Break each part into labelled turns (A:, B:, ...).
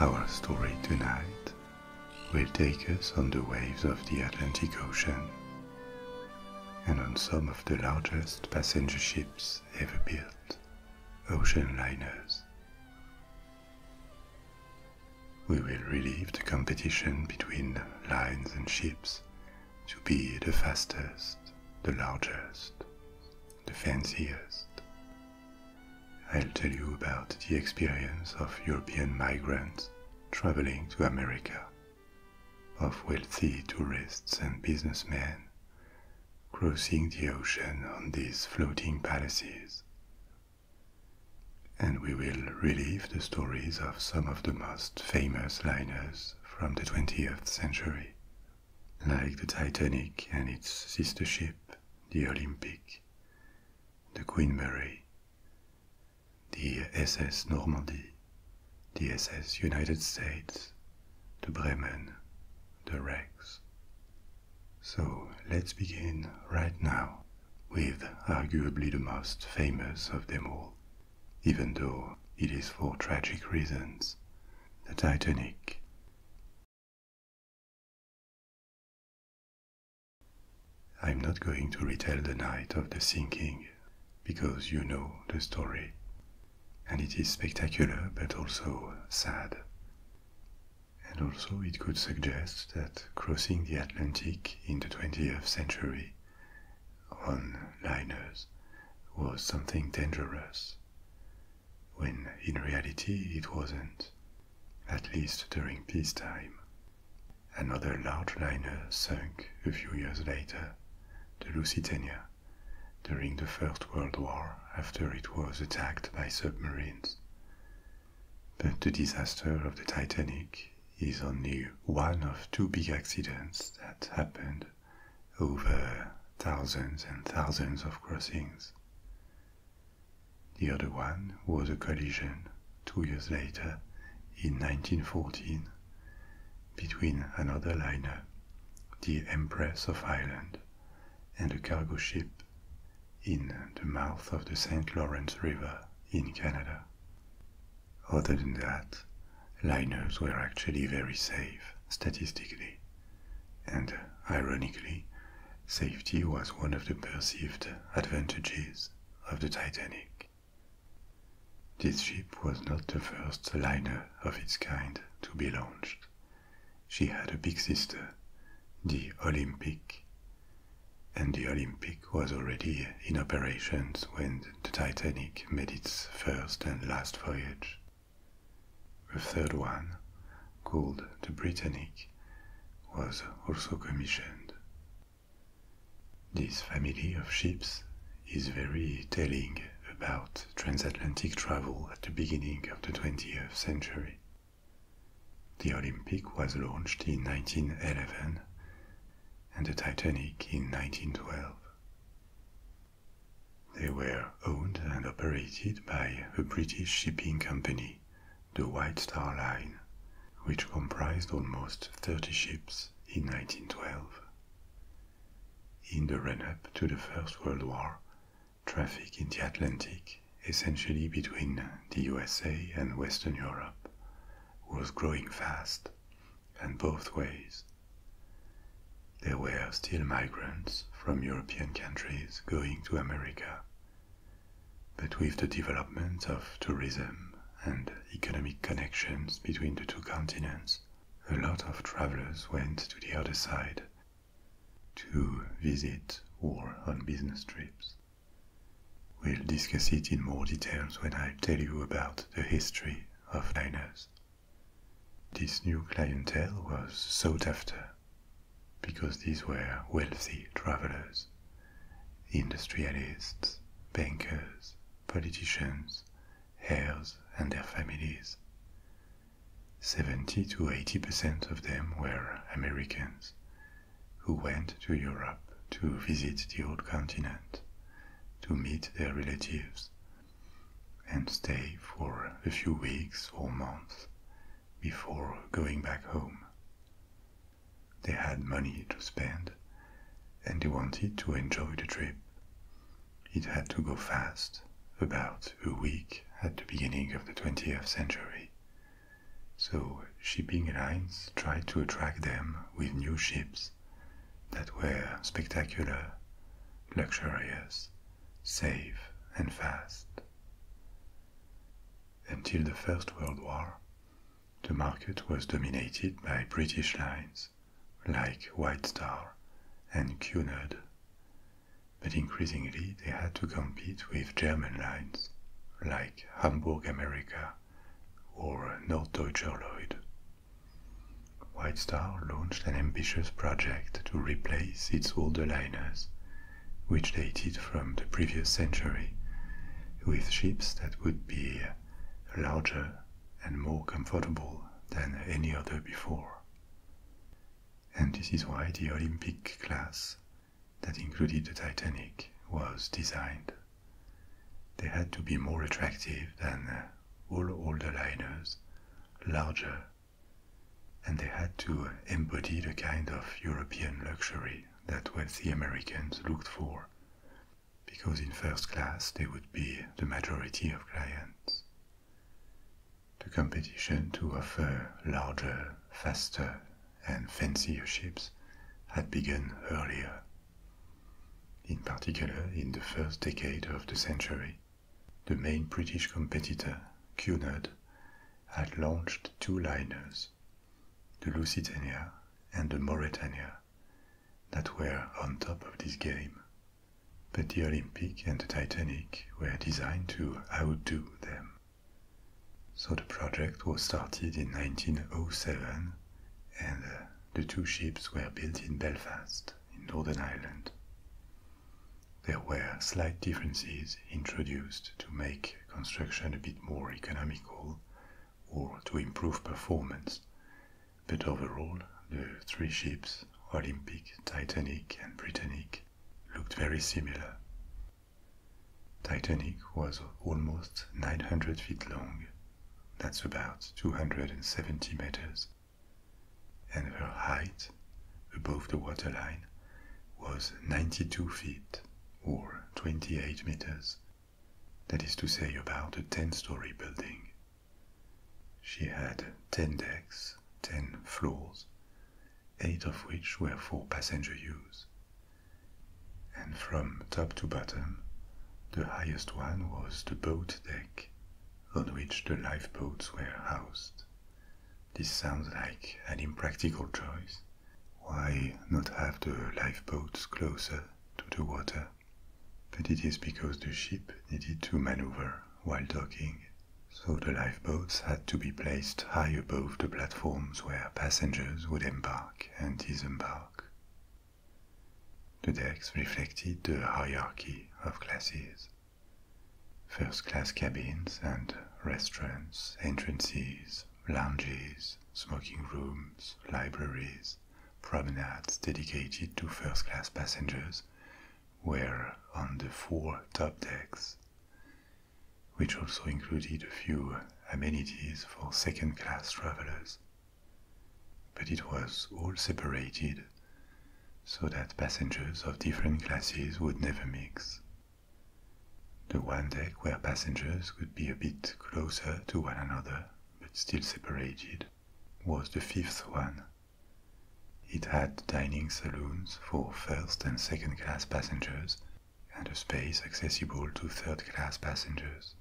A: Our story tonight will take us on the waves of the Atlantic Ocean and on some of the largest passenger ships ever built, ocean liners. We will relive the competition between lines and ships to be the fastest, the largest, the fanciest. I'll tell you about the experience of European migrants traveling to America, of wealthy tourists and businessmen crossing the ocean on these floating palaces. And we will relive the stories of some of the most famous liners from the 20th century like the Titanic and its sister ship, the Olympic, the Queen Mary, the SS Normandy, the SS United States, the Bremen, the Rex. So let's begin right now with arguably the most famous of them all, even though it is for tragic reasons, the Titanic. I'm not going to retell the night of the sinking because you know the story, and it is spectacular but also sad. And also, it could suggest that crossing the Atlantic in the 20th century on liners was something dangerous when in reality it wasn't, at least during peacetime. Another large liner sunk a few years later, the Lusitania, during the First World War after it was attacked by submarines. But the disaster of the Titanic is only one of two big accidents that happened over thousands and thousands of crossings. The other one was a collision two years later in 1914 between another liner, the Empress of Ireland, and a cargo ship in the mouth of the St. Lawrence River in Canada. Other than that, liners were actually very safe statistically and ironically, safety was one of the perceived advantages of the Titanic. This ship was not the first liner of its kind to be launched. She had a big sister, the Olympic, and the Olympic was already in operations when the Titanic made its first and last voyage. The third one, called the Britannic, was also commissioned. This family of ships is very telling about transatlantic travel at the beginning of the 20th century. The Olympic was launched in 1911 and the Titanic in 1912. They were owned and operated by a British shipping company, the White Star Line, which comprised almost 30 ships in 1912. In the run up to the First World War, traffic in the Atlantic, essentially between the USA and Western Europe, was growing fast and both ways. There were still migrants from European countries going to America. But with the development of tourism and economic connections between the two continents, a lot of travelers went to the other side to visit or on business trips. We'll discuss it in more details when I tell you about the history of diners. This new clientele was sought after because these were wealthy travelers, industrialists, bankers, politicians, heirs, and their families. 70 to 80 percent of them were Americans who went to Europe to visit the old continent, to meet their relatives, and stay for a few weeks or months before going back home. They had money to spend and they wanted to enjoy the trip. It had to go fast, about a week at the beginning of the 20th century. So shipping lines tried to attract them with new ships that were spectacular, luxurious, safe and fast. Until the First World War, the market was dominated by British lines like White Star and Cunard, but increasingly they had to compete with German lines like Hamburg America or Norddeutscher Lloyd. White Star launched an ambitious project to replace its older liners, which dated from the previous century, with ships that would be larger and more comfortable than any other before. And this is why the Olympic class, that included the Titanic, was designed. They had to be more attractive than all older liners, larger and they had to embody the kind of European luxury that wealthy Americans looked for, because in first class they would be the majority of clients. The competition to offer larger, faster, and fancier ships had begun earlier, in particular in the first decade of the century. The main British competitor, Cunard, had launched two liners, the Lusitania and the Mauretania, that were on top of this game, but the Olympic and the Titanic were designed to outdo them. So the project was started in 1907 and uh, the two ships were built in Belfast in Northern Ireland there were slight differences introduced to make construction a bit more economical or to improve performance. But overall, the three ships, Olympic, Titanic, and Britannic, looked very similar. Titanic was almost 900 feet long, that's about 270 meters, and her height above the waterline was 92 feet or 28 meters, that is to say, about a 10 story building. She had 10 decks, 10 floors, eight of which were for passenger use. And from top to bottom, the highest one was the boat deck, on which the lifeboats were housed, this sounds like an impractical choice. Why not have the lifeboats closer to the water? But it is because the ship needed to maneuver while docking, so the lifeboats had to be placed high above the platforms where passengers would embark and disembark. The decks reflected the hierarchy of classes. First class cabins and restaurants, entrances, lounges, smoking rooms, libraries, promenades dedicated to first class passengers were on the four top decks, which also included a few amenities for second class travelers. But it was all separated so that passengers of different classes would never mix. The one deck where passengers could be a bit closer to one another but still separated was the fifth one. It had dining saloons for first and second class passengers and a space accessible to third class passengers.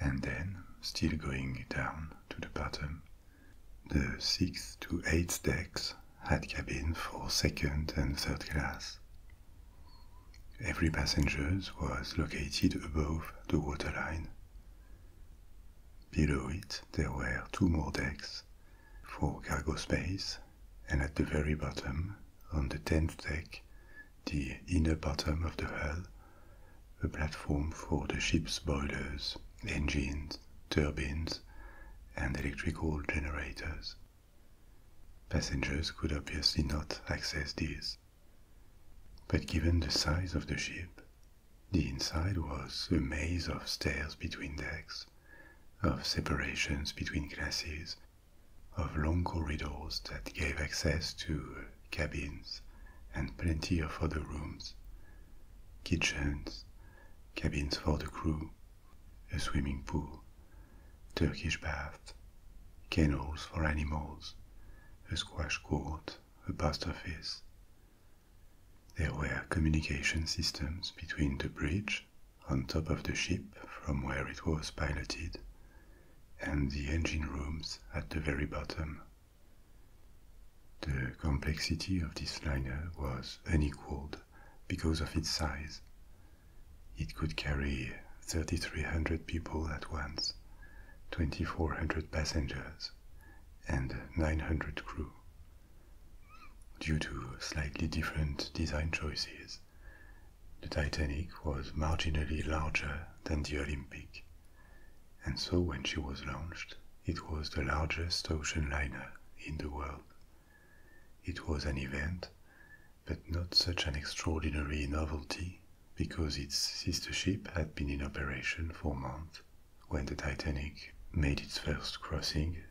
A: And then, still going down to the bottom, the sixth to eighth decks had cabins for second and third class. Every passenger's was located above the waterline. Below it, there were two more decks for cargo space, and at the very bottom, on the tenth deck, the inner bottom of the hull, a platform for the ship's boilers, engines, turbines, and electrical generators. Passengers could obviously not access these. But given the size of the ship, the inside was a maze of stairs between decks, of separations between classes, of long corridors that gave access to cabins and plenty of other rooms, kitchens, cabins for the crew, a swimming pool, Turkish bath, kennels for animals, a squash court, a post office. There were communication systems between the bridge on top of the ship from where it was piloted and the engine rooms at the very bottom. The complexity of this liner was unequaled because of its size. It could carry 3,300 people at once, 2,400 passengers, and 900 crew. Due to slightly different design choices, the Titanic was marginally larger than the Olympic, and so when she was launched, it was the largest ocean liner in the world. It was an event, but not such an extraordinary novelty because its sister ship had been in operation for months when the Titanic made its first crossing.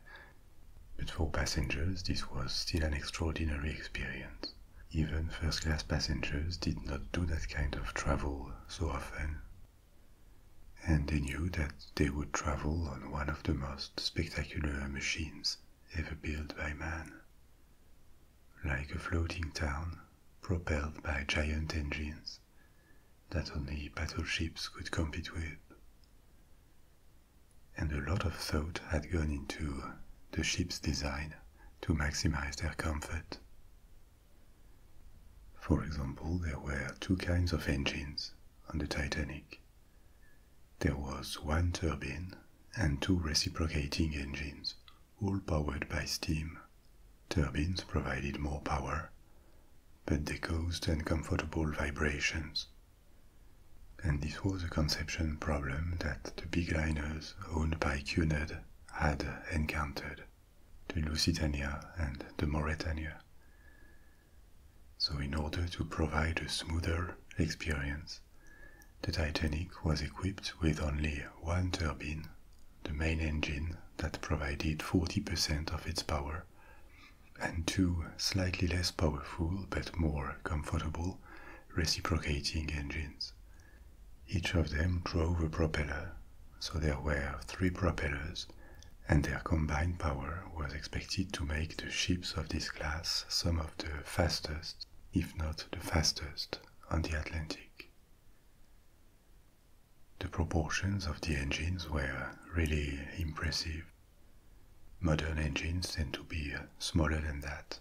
A: But for passengers, this was still an extraordinary experience. Even first class passengers did not do that kind of travel so often and they knew that they would travel on one of the most spectacular machines ever built by man. Like a floating town propelled by giant engines that only battleships could compete with. And a lot of thought had gone into the ship's design to maximize their comfort. For example, there were two kinds of engines on the Titanic. There was one turbine and two reciprocating engines, all powered by steam. Turbines provided more power, but they caused uncomfortable vibrations. And this was a conception problem that the big liners owned by Cunard had encountered the Lusitania and the Mauretania. So, in order to provide a smoother experience, the Titanic was equipped with only one turbine, the main engine that provided 40% of its power, and two slightly less powerful but more comfortable reciprocating engines. Each of them drove a propeller, so there were three propellers and their combined power was expected to make the ships of this class some of the fastest, if not the fastest, on the Atlantic. The proportions of the engines were really impressive. Modern engines tend to be smaller than that,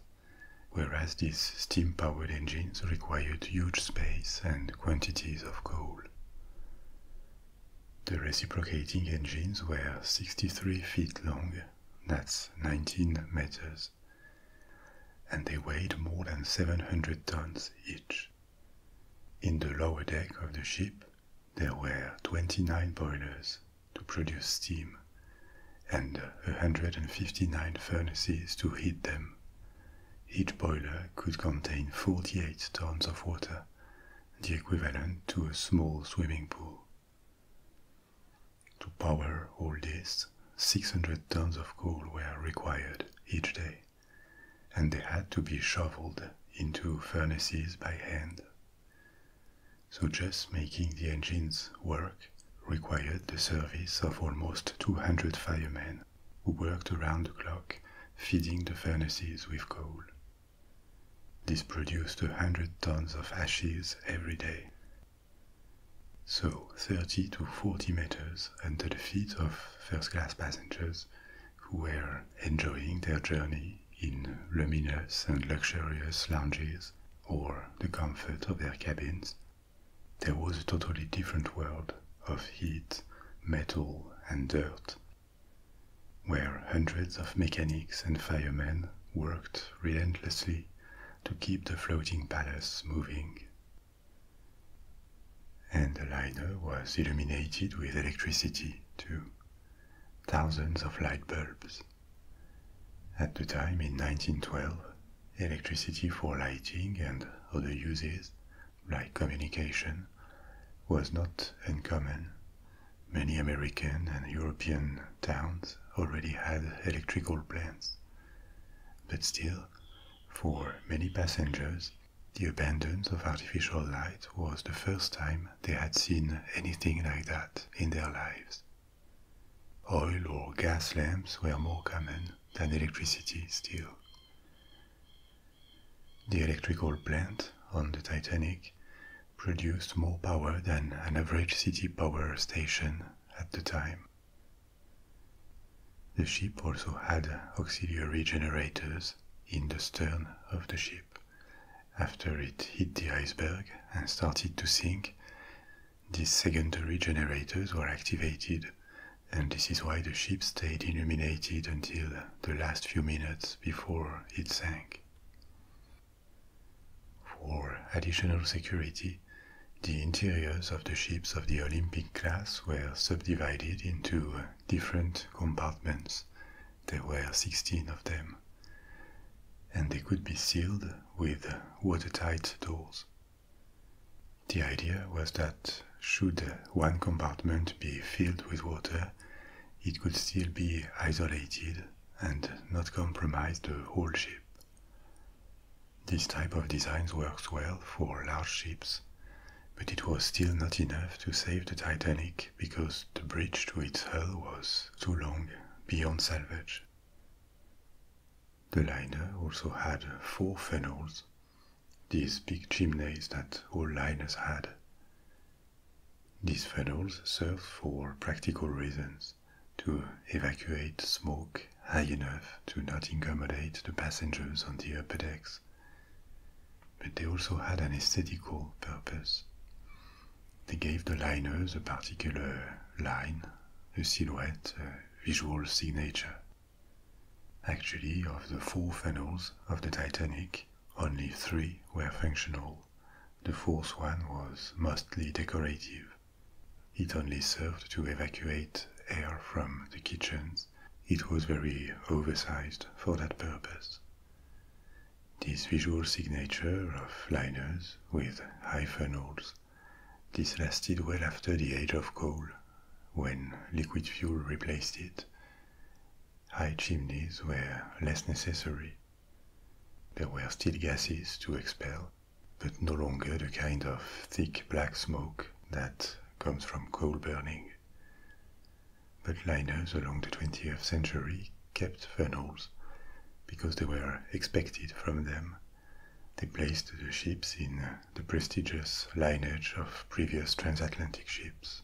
A: whereas these steam powered engines required huge space and quantities of coal. The reciprocating engines were 63 feet long, that's 19 meters, and they weighed more than 700 tons each. In the lower deck of the ship, there were 29 boilers to produce steam and 159 furnaces to heat them. Each boiler could contain 48 tons of water the equivalent to a small swimming pool. To power all this, 600 tons of coal were required each day, and they had to be shoveled into furnaces by hand. So just making the engines work required the service of almost 200 firemen who worked around the clock, feeding the furnaces with coal. This produced a hundred tons of ashes every day. So, 30 to 40 meters under the feet of first class passengers who were enjoying their journey in luminous and luxurious lounges or the comfort of their cabins, there was a totally different world of heat, metal, and dirt where hundreds of mechanics and firemen worked relentlessly to keep the floating palace moving. And the liner was illuminated with electricity, too, thousands of light bulbs. At the time in 1912, electricity for lighting and other uses, like communication, was not uncommon, Many American and European towns already had electrical plants. But still, for many passengers, the abundance of artificial light was the first time they had seen anything like that in their lives. Oil or gas lamps were more common than electricity still. The electrical plant on the Titanic produced more power than an average city power station at the time. The ship also had auxiliary generators in the stern of the ship. After it hit the iceberg and started to sink, these secondary generators were activated, and this is why the ship stayed illuminated until the last few minutes before it sank. For additional security, the interiors of the ships of the Olympic class were subdivided into different compartments. There were 16 of them, and they could be sealed with watertight doors. The idea was that should one compartment be filled with water, it could still be isolated and not compromise the whole ship. This type of designs works well for large ships, but it was still not enough to save the Titanic because the breach to its hull was too long beyond salvage. The liner also had four funnels, these big chimneys that all liners had. These funnels served, for practical reasons to evacuate smoke high enough to not incommodate the passengers on the upper decks. But they also had an esthetical purpose. They gave the liners a particular line, a silhouette, a visual signature. Actually, of the four funnels of the Titanic, only three were functional. The fourth one was mostly decorative. It only served to evacuate air from the kitchens. It was very oversized for that purpose. This visual signature of liners with high funnels, this lasted well after the age of coal, when liquid fuel replaced it. High chimneys were less necessary. There were still gases to expel, but no longer the kind of thick black smoke that comes from coal burning. But liners along the 20th century kept funnels because they were expected from them. They placed the ships in the prestigious lineage of previous transatlantic ships.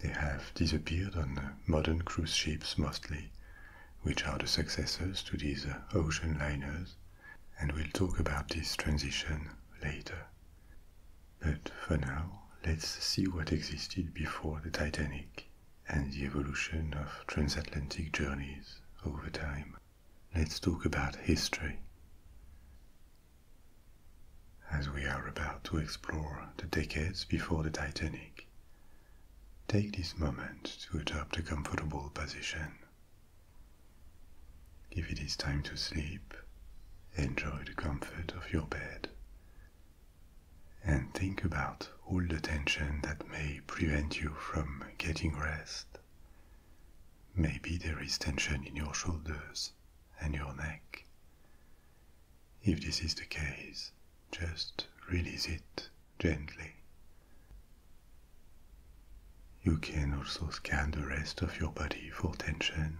A: They have disappeared on modern cruise ships mostly, which are the successors to these uh, ocean liners, and we'll talk about this transition later. But for now, let's see what existed before the Titanic and the evolution of transatlantic journeys over time. Let's talk about history. As we are about to explore the decades before the Titanic, take this moment to adopt a comfortable position. If it is time to sleep, enjoy the comfort of your bed and think about all the tension that may prevent you from getting rest. Maybe there is tension in your shoulders and your neck. If this is the case, just release it gently. You can also scan the rest of your body for tension,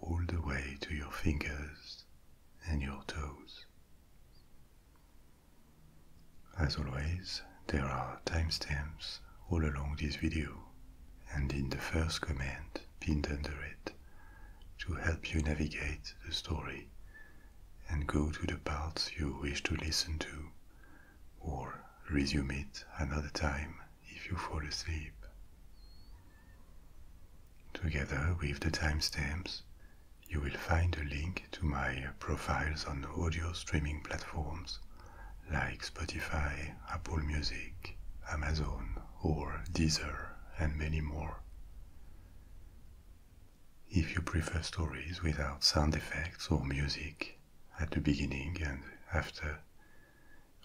A: all the way to your fingers and your toes. As always, there are timestamps all along this video and in the first comment pinned under it to help you navigate the story and go to the parts you wish to listen to, or resume it another time if you fall asleep. Together with the timestamps, you will find a link to my profiles on audio streaming platforms like Spotify, Apple Music, Amazon, or Deezer, and many more. If you prefer stories without sound effects or music at the beginning and after,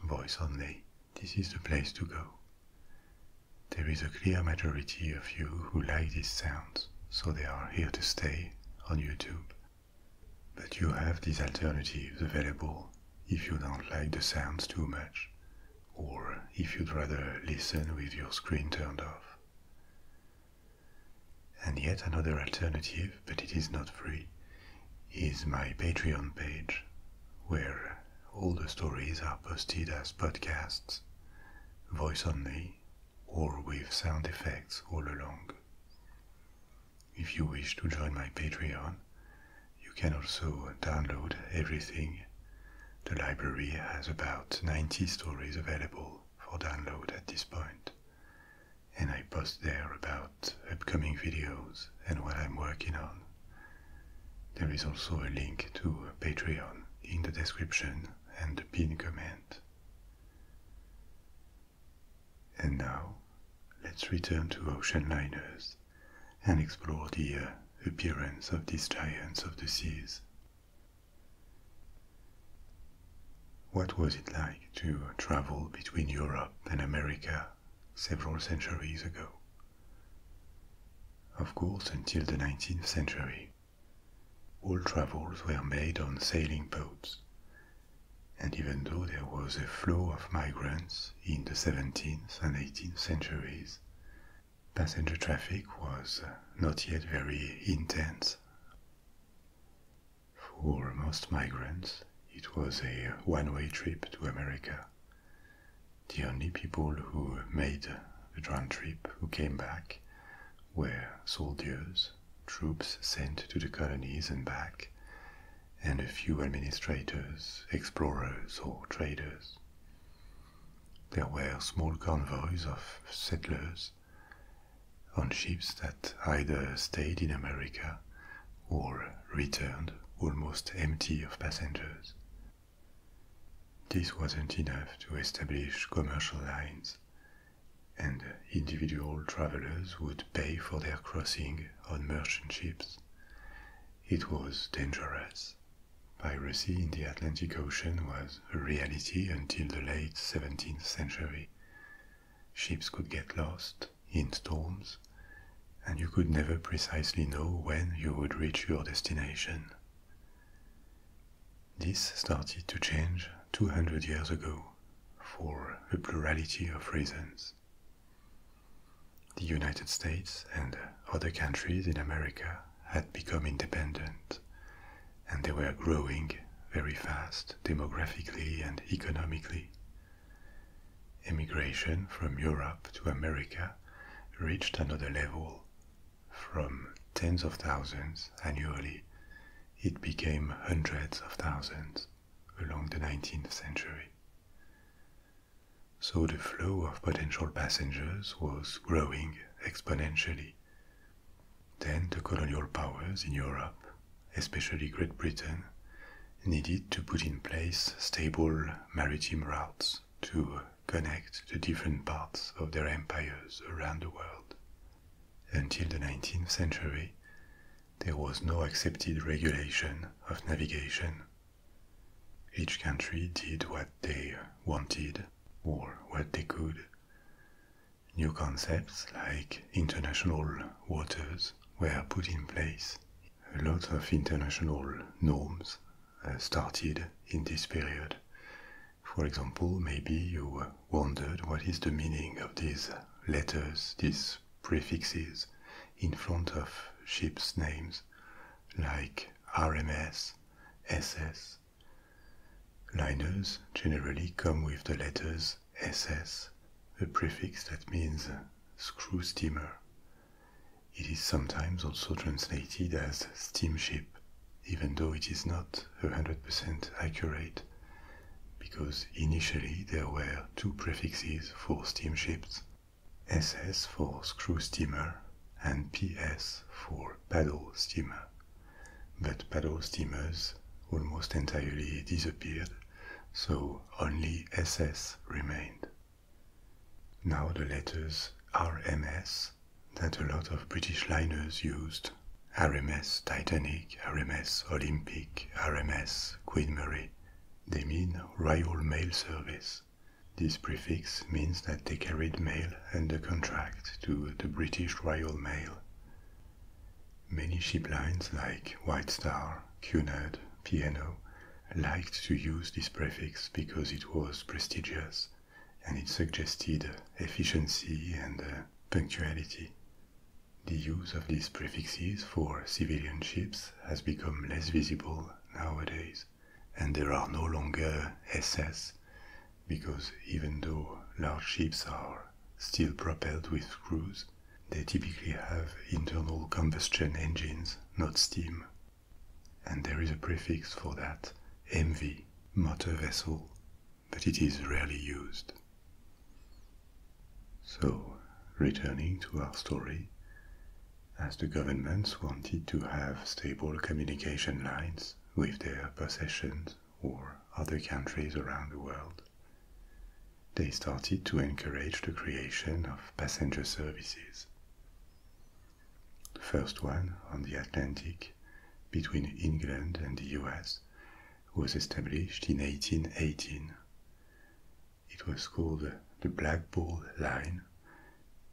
A: voice only, this is the place to go. There is a clear majority of you who like these sounds, so they are here to stay on YouTube. But you have these alternatives available if you don't like the sounds too much or if you'd rather listen with your screen turned off. And yet another alternative, but it is not free, is my Patreon page, where all the stories are posted as podcasts, voice only, or with sound effects all along. If you wish to join my Patreon, you can also download everything. The library has about 90 stories available for download at this point, and I post there about upcoming videos and what I'm working on. There is also a link to Patreon in the description and the pinned comment. And now, let's return to ocean liners and explore the uh, appearance of these giants of the seas. What was it like to travel between Europe and America several centuries ago? Of course, until the 19th century, all travels were made on sailing boats. And even though there was a flow of migrants in the 17th and 18th centuries, Passenger traffic was uh, not yet very intense. For most migrants, it was a one way trip to America. The only people who made the round trip who came back were soldiers, troops sent to the colonies and back, and a few administrators, explorers, or traders. There were small convoys of settlers on ships that either stayed in America or returned almost empty of passengers. This wasn't enough to establish commercial lines, and individual travelers would pay for their crossing on merchant ships. It was dangerous Piracy in the Atlantic Ocean was a reality until the late 17th century. Ships could get lost in storms, and you could never precisely know when you would reach your destination. This started to change 200 years ago for a plurality of reasons. The United States and other countries in America had become independent, and they were growing very fast demographically and economically. Immigration from Europe to America reached another level. From tens of thousands annually, it became hundreds of thousands along the 19th century so the flow of potential passengers was growing exponentially. Then the colonial powers in Europe, especially Great Britain, needed to put in place stable maritime routes to connect the different parts of their empires around the world. Until the 19th century, there was no accepted regulation of navigation each country did what they wanted or what they could. New concepts like international waters were put in place. A lot of international norms uh, started in this period. For example, maybe you wondered what is the meaning of these letters, these prefixes in front of ships' names like RMS, SS. Liners generally come with the letters SS, a prefix that means screw steamer. It is sometimes also translated as steamship, even though it is not 100% accurate, because initially there were two prefixes for steamships SS for screw steamer and PS for paddle steamer. But paddle steamers almost entirely disappeared, so only SS remained. Now the letters RMS that a lot of British liners used RMS Titanic, RMS Olympic, RMS Queen Mary. They mean Royal Mail Service. This prefix means that they carried mail under contract to the British Royal Mail. Many ship lines like White Star, Cunard, P&O liked to use this prefix because it was prestigious and it suggested efficiency and uh, punctuality. The use of these prefixes for civilian ships has become less visible nowadays and there are no longer SS because even though large ships are still propelled with screws, they typically have internal combustion engines, not steam. And there is a prefix for that, MV, motor vessel, but it is rarely used. So, returning to our story, as the governments wanted to have stable communication lines with their possessions or other countries around the world. They started to encourage the creation of passenger services. The first one on the Atlantic between England and the US was established in 1818. It was called the Black Ball Line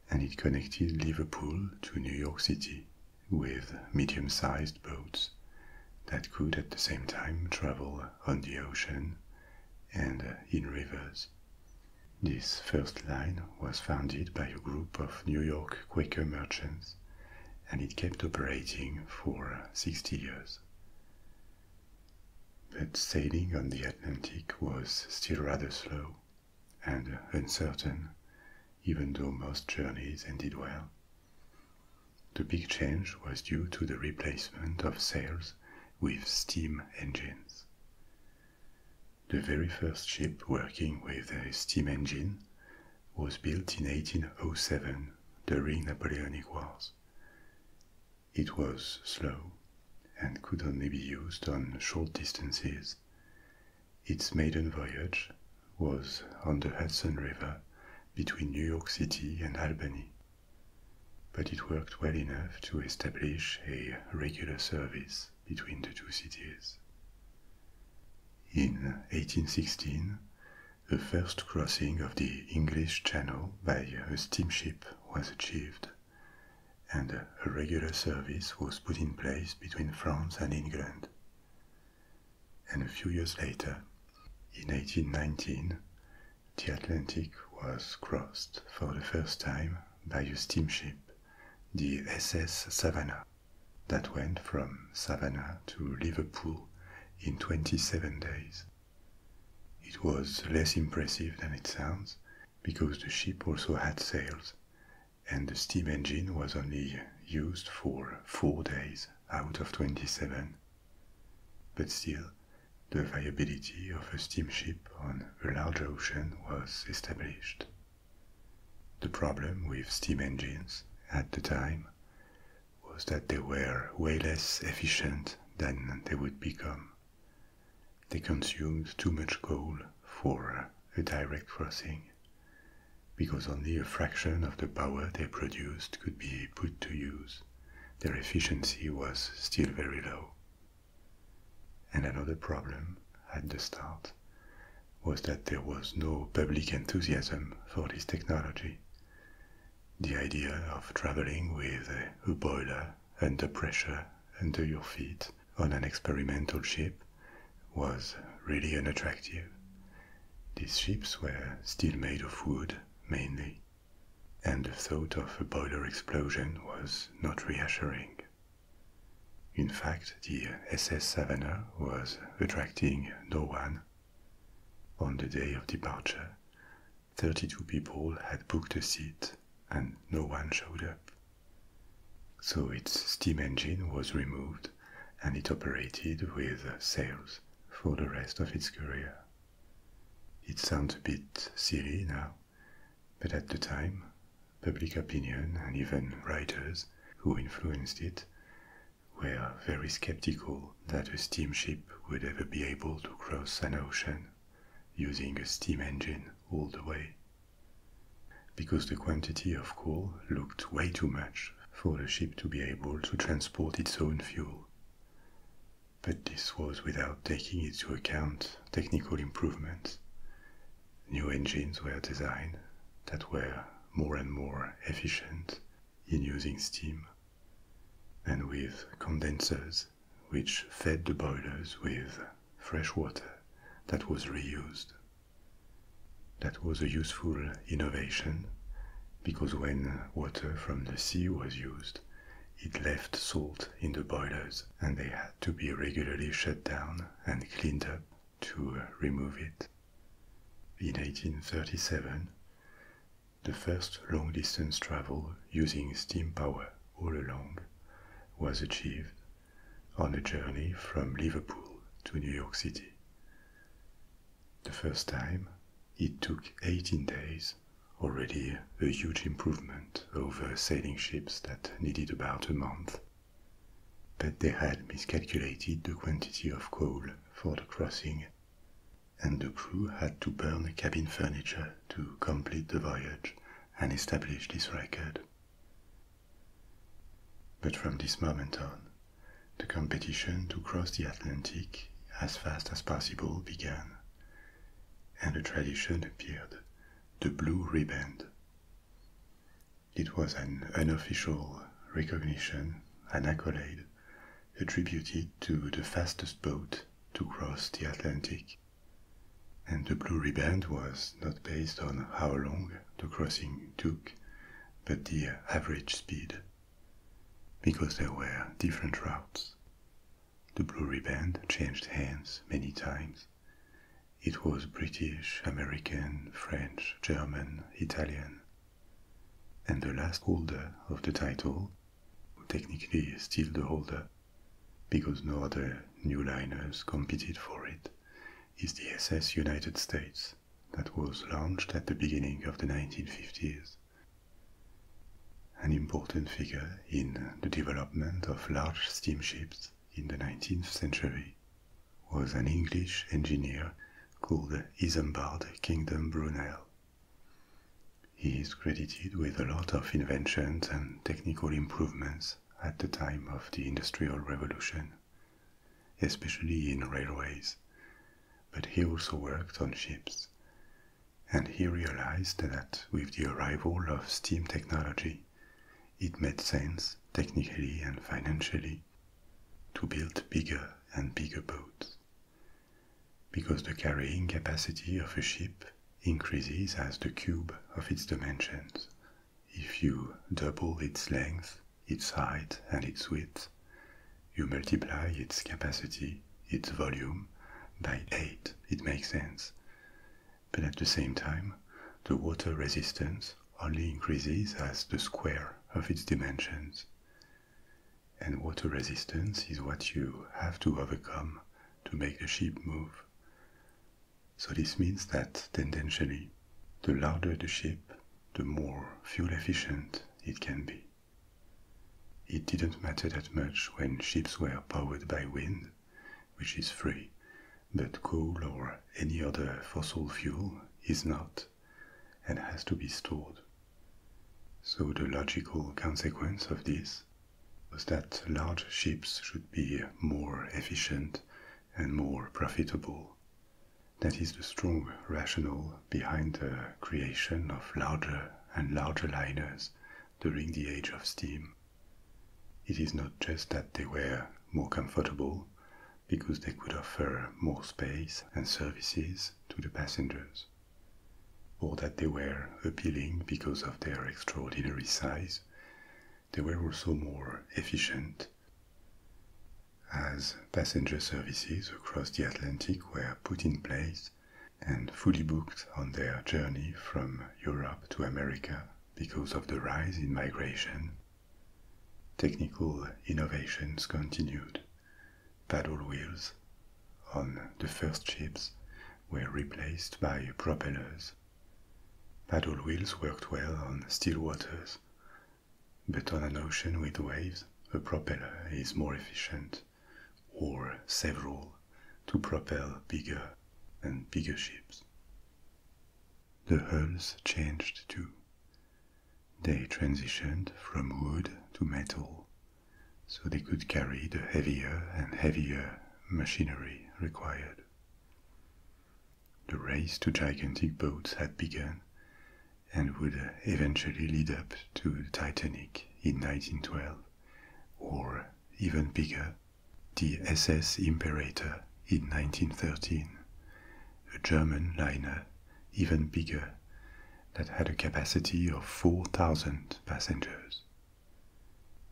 A: and it connected Liverpool to New York City with medium sized boats that could at the same time travel on the ocean and uh, in rivers. This first line was founded by a group of New York Quaker merchants and it kept operating for uh, 60 years. But sailing on the Atlantic was still rather slow, and uncertain, even though most journeys ended well. The big change was due to the replacement of sails with steam engines. The very first ship working with a steam engine was built in 1807 during the Napoleonic Wars. It was slow, and could only be used on short distances. Its maiden voyage was on the Hudson River between New York City and Albany. But it worked well enough to establish a regular service between the two cities. In 1816, the first crossing of the English Channel by a steamship was achieved and a regular service was put in place between France and England. And a few years later, in 1819, the Atlantic was crossed for the first time by a steamship, the SS Savannah, that went from Savannah to Liverpool in 27 days. It was less impressive than it sounds because the ship also had sails and the steam engine was only used for four days out of 27. But still, the viability of a steamship on the larger ocean was established. The problem with steam engines at the time was that they were way less efficient than they would become, they consumed too much coal for uh, a direct crossing, because only a fraction of the power they produced could be put to use. Their efficiency was still very low. And another problem at the start was that there was no public enthusiasm for this technology. The idea of traveling with a boiler under pressure under your feet on an experimental ship was really unattractive. These ships were still made of wood mainly, and the thought of a boiler explosion was not reassuring. In fact, the SS Savannah was attracting no one. On the day of departure, 32 people had booked a seat and no one showed up. So its steam engine was removed and it operated with sails for the rest of its career. It sounds a bit silly now, but at the time, public opinion and even writers who influenced it were very skeptical that a steamship would ever be able to cross an ocean using a steam engine all the way because the quantity of coal looked way too much for a ship to be able to transport its own fuel. But this was without taking into account technical improvements. New engines were designed that were more and more efficient in using steam, and with condensers which fed the boilers with fresh water that was reused. That was a useful innovation because when water from the sea was used, it left salt in the boilers and they had to be regularly shut down and cleaned up to remove it. In 1837, the first long distance travel using steam power all along was achieved on a journey from Liverpool to New York City. The first time, it took 18 days, already a huge improvement over sailing ships that needed about a month. But they had miscalculated the quantity of coal for the crossing, and the crew had to burn the cabin furniture to complete the voyage and establish this record. But from this moment on, the competition to cross the Atlantic as fast as possible began, and a tradition appeared the blue riband. It was an unofficial recognition, an accolade, attributed to the fastest boat to cross the Atlantic. And the blue riband was not based on how long the crossing took, but the average speed, because there were different routes. The blue riband changed hands many times. It was British, American, French, German, Italian. And the last holder of the title, who technically is still the holder, because no other new liners competed for it, is the SS United States that was launched at the beginning of the 1950s. An important figure in the development of large steamships in the 19th century was an English engineer called Isambard Kingdom Brunel. He is credited with a lot of inventions and technical improvements at the time of the Industrial Revolution, especially in railways, but he also worked on ships. And he realized that with the arrival of steam technology, it made sense, technically and financially, to build bigger and bigger boats. Because the carrying capacity of a ship increases as the cube of its dimensions if you double its length, its height, and its width, you multiply its capacity, its volume, by 8. It makes sense. But at the same time, the water resistance only increases as the square of its dimensions. And water resistance is what you have to overcome to make the ship move. So this means that tendentially, the larger the ship, the more fuel efficient it can be. It didn't matter that much when ships were powered by wind, which is free, but coal or any other fossil fuel is not and has to be stored. So the logical consequence of this was that large ships should be more efficient and more profitable. That is the strong rational behind the creation of larger and larger liners during the age of steam. It is not just that they were more comfortable, because they could offer more space and services to the passengers, or that they were appealing because of their extraordinary size, they were also more efficient. As passenger services across the Atlantic were put in place and fully booked on their journey from Europe to America because of the rise in migration, technical innovations continued. Paddle wheels on the first ships were replaced by propellers Paddle wheels worked well on still waters, but on an ocean with waves, a propeller is more efficient, or several, to propel bigger and bigger ships. The hulls changed too. They transitioned from wood to metal, so they could carry the heavier and heavier machinery required. The race to gigantic boats had begun and would eventually lead up to the Titanic in 1912, or even bigger, the SS Imperator in 1913, a German liner even bigger that had a capacity of 4,000 passengers.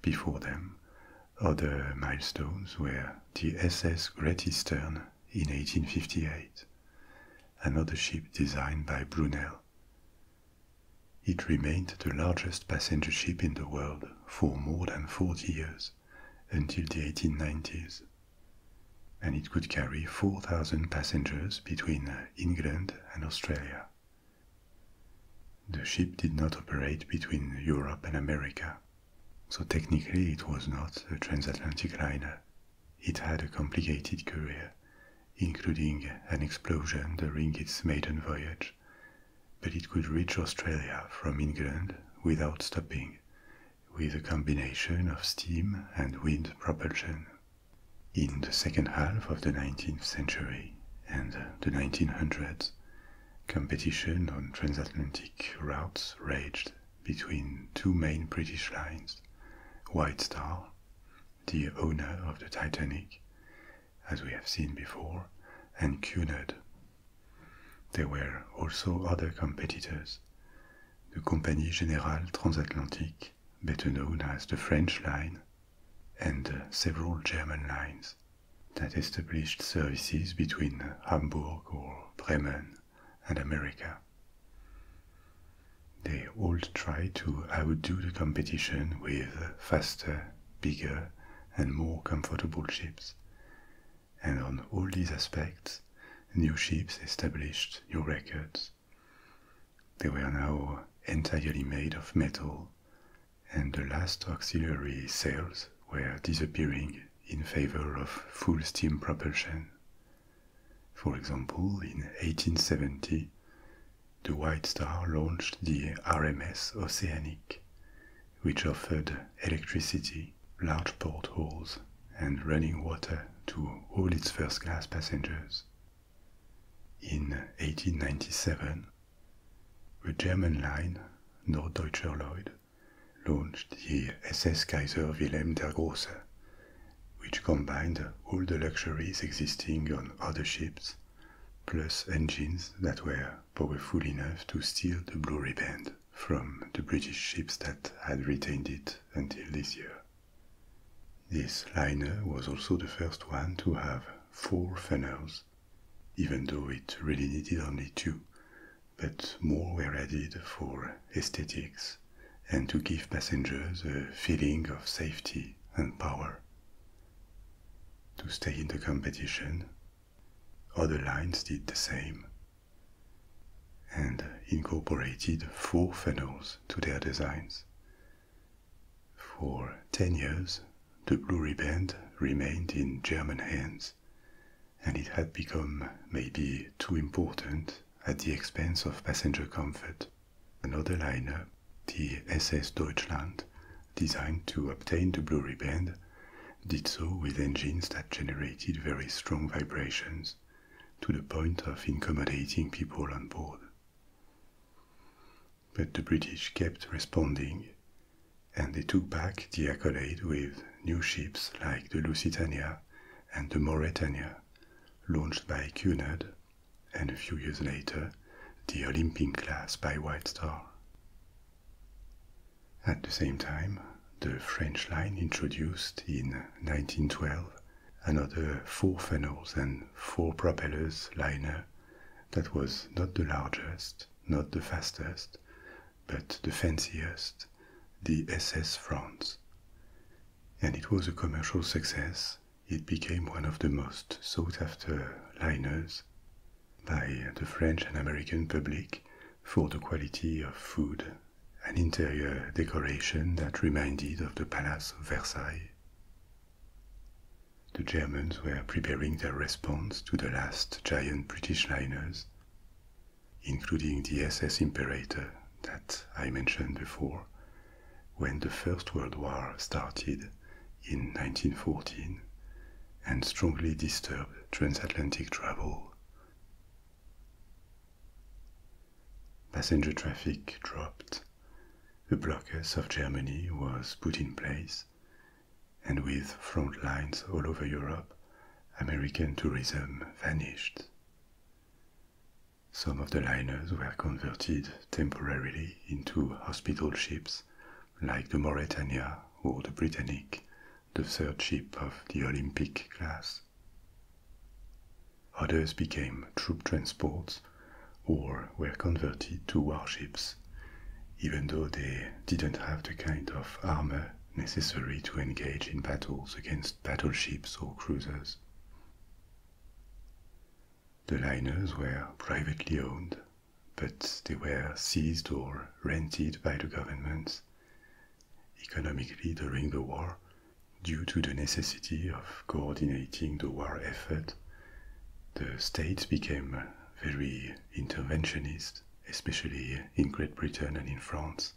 A: Before them, other milestones were the SS Great Eastern in 1858, another ship designed by Brunel. It remained the largest passenger ship in the world for more than 40 years until the 1890s, and it could carry 4,000 passengers between England and Australia. The ship did not operate between Europe and America, so technically, it was not a transatlantic liner. It had a complicated career, including an explosion during its maiden voyage, but it could reach Australia from England without stopping, with a combination of steam and wind propulsion. In the second half of the 19th century and the 1900s, competition on transatlantic routes raged between two main British lines, White Star, the owner of the Titanic, as we have seen before, and Cunard. There were also other competitors, the Compagnie Générale Transatlantique, better known as the French line, and uh, several German lines that established services between Hamburg or Bremen and America. They all tried to outdo the competition with faster, bigger, and more comfortable ships. And on all these aspects, new ships established new records. They were now entirely made of metal, and the last auxiliary sails were disappearing in favor of full steam propulsion. For example, in 1870, the White Star launched the RMS Oceanic, which offered electricity, large port holes, and running water to all its first class passengers. In 1897, the German line, Norddeutscher Lloyd, launched the SS Kaiser Wilhelm der Große, which combined all the luxuries existing on other ships, plus engines that were powerful enough to steal the blue ribbon from the British ships that had retained it until this year. This liner was also the first one to have four funnels, even though it really needed only two but more were added for aesthetics and to give passengers a feeling of safety and power. To stay in the competition, other lines did the same and incorporated four funnels to their designs. For 10 years, the blue riband remained in German hands and it had become maybe too important at the expense of passenger comfort. Another liner, the SS Deutschland, designed to obtain the Blue ribbon, did so with engines that generated very strong vibrations to the point of incommodating people on board. But the British kept responding and they took back the accolade with new ships like the Lusitania and the Mauretania, launched by Cunard, and a few years later, the Olympic class by White Star. At the same time, the French line introduced in 1912 another four funnels and four propellers liner that was not the largest, not the fastest, but the fanciest, the SS France. And it was a commercial success. It became one of the most sought after liners by the French and American public for the quality of food and interior decoration that reminded of the Palace of Versailles. The Germans were preparing their response to the last giant British liners, including the SS Imperator that I mentioned before, when the First World War started in 1914 and strongly disturbed transatlantic travel. Passenger traffic dropped, a blockade of Germany was put in place, and with front lines all over Europe, American tourism vanished. Some of the liners were converted temporarily into hospital ships, like the Mauretania or the Britannic, the third ship of the Olympic class. Others became troop transports or were converted to warships, even though they didn't have the kind of armor necessary to engage in battles against battleships or cruisers. The liners were privately owned, but they were seized or rented by the governments. economically during the war due to the necessity of coordinating the war effort. The states became very interventionist, especially in Great Britain and in France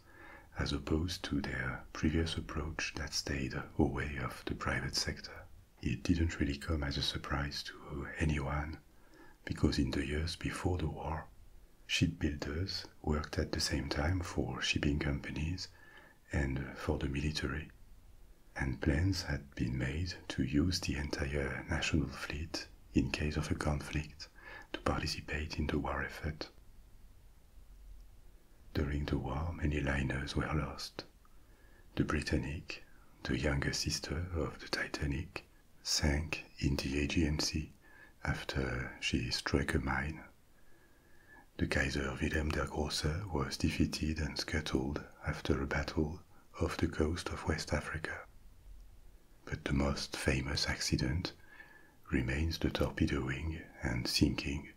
A: as opposed to their previous approach that stayed away of the private sector. It didn't really come as a surprise to anyone, because in the years before the war, shipbuilders worked at the same time for shipping companies and for the military, and plans had been made to use the entire national fleet in case of a conflict to participate in the war effort. During the war, many liners were lost. The Britannic, the younger sister of the Titanic, sank in the Aegean Sea after she struck a mine. The Kaiser Wilhelm der Große was defeated and scuttled after a battle off the coast of West Africa. But the most famous accident remains the torpedoing and sinking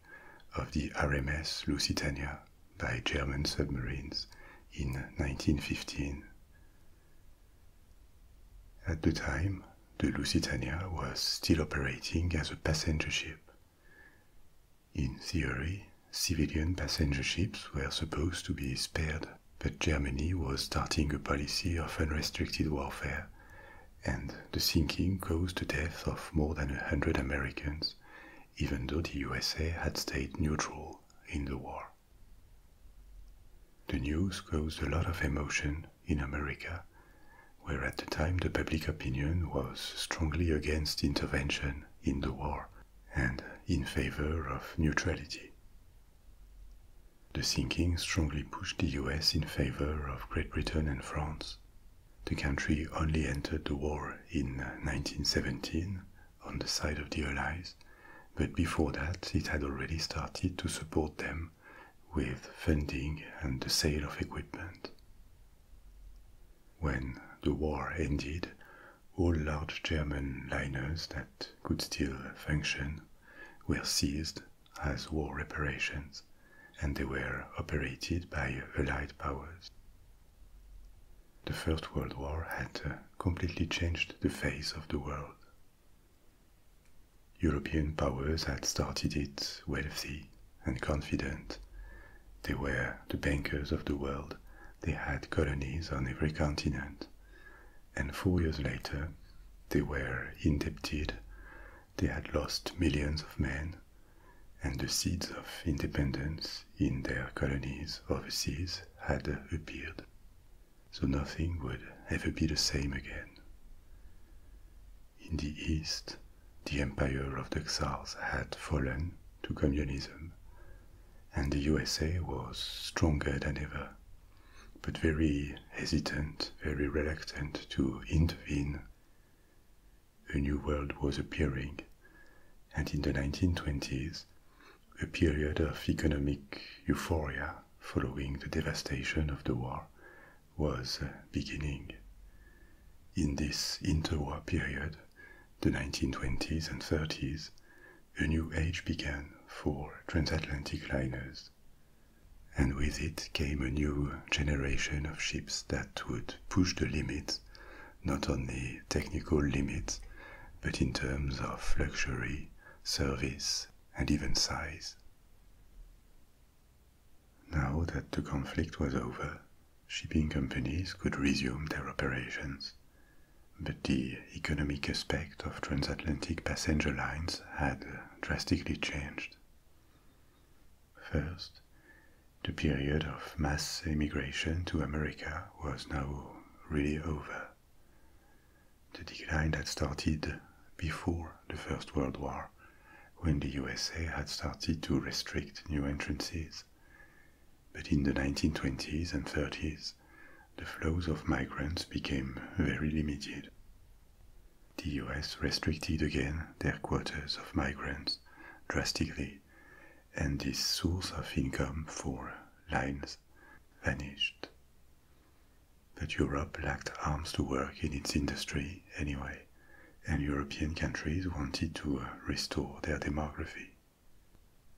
A: of the RMS Lusitania by German submarines in 1915. At the time, the Lusitania was still operating as a passenger ship. In theory, civilian passenger ships were supposed to be spared, but Germany was starting a policy of unrestricted warfare and the sinking caused the death of more than 100 Americans, even though the USA had stayed neutral in the war. The news caused a lot of emotion in America, where at the time the public opinion was strongly against intervention in the war and in favor of neutrality. The sinking strongly pushed the US in favor of Great Britain and France. The country only entered the war in 1917 on the side of the Allies, but before that it had already started to support them with funding and the sale of equipment. When the war ended, all large German liners that could still function were seized as war reparations, and they were operated by Allied powers. The First World War had uh, completely changed the face of the world. European powers had started it wealthy and confident. They were the bankers of the world. They had colonies on every continent and four years later they were indebted, they had lost millions of men, and the seeds of independence in their colonies overseas had appeared. So nothing would ever be the same again. In the East, the empire of the Czars had fallen to communism, and the USA was stronger than ever but very hesitant, very reluctant to intervene. A new world was appearing, and in the 1920s, a period of economic euphoria following the devastation of the war was uh, beginning. In this interwar period, the 1920s and 30s, a new age began for transatlantic liners and with it came a new generation of ships that would push the limits, not only technical limits, but in terms of luxury, service, and even size. Now that the conflict was over, shipping companies could resume their operations. But the economic aspect of transatlantic passenger lines had drastically changed. First, the period of mass immigration to America was now really over. The decline had started before the First World War, when the USA had started to restrict new entrances. But in the 1920s and 30s, the flows of migrants became very limited the US restricted again their quotas of migrants drastically, and this source of income for lines vanished. But Europe lacked arms to work in its industry anyway, and European countries wanted to uh, restore their demography.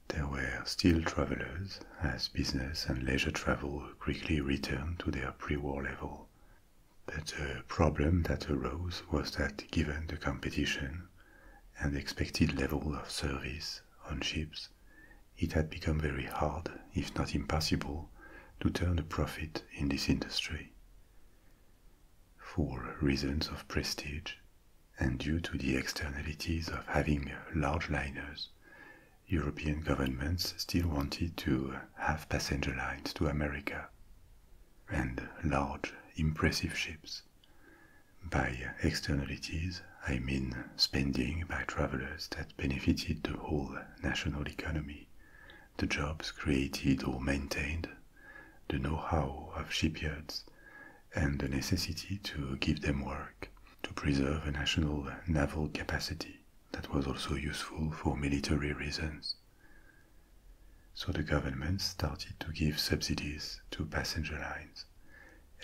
A: There were still travelers as business and leisure travel quickly returned to their pre war level. But the problem that arose was that given the competition and the expected level of service on ships, it had become very hard, if not impossible, to turn a profit in this industry. For reasons of prestige and due to the externalities of having large liners, European governments still wanted to have passenger lines to America and large, impressive ships. By externalities, I mean spending by travelers that benefited the whole national economy, the jobs created or maintained, the know how of shipyards, and the necessity to give them work to preserve a national naval capacity that was also useful for military reasons. So the government started to give subsidies to passenger lines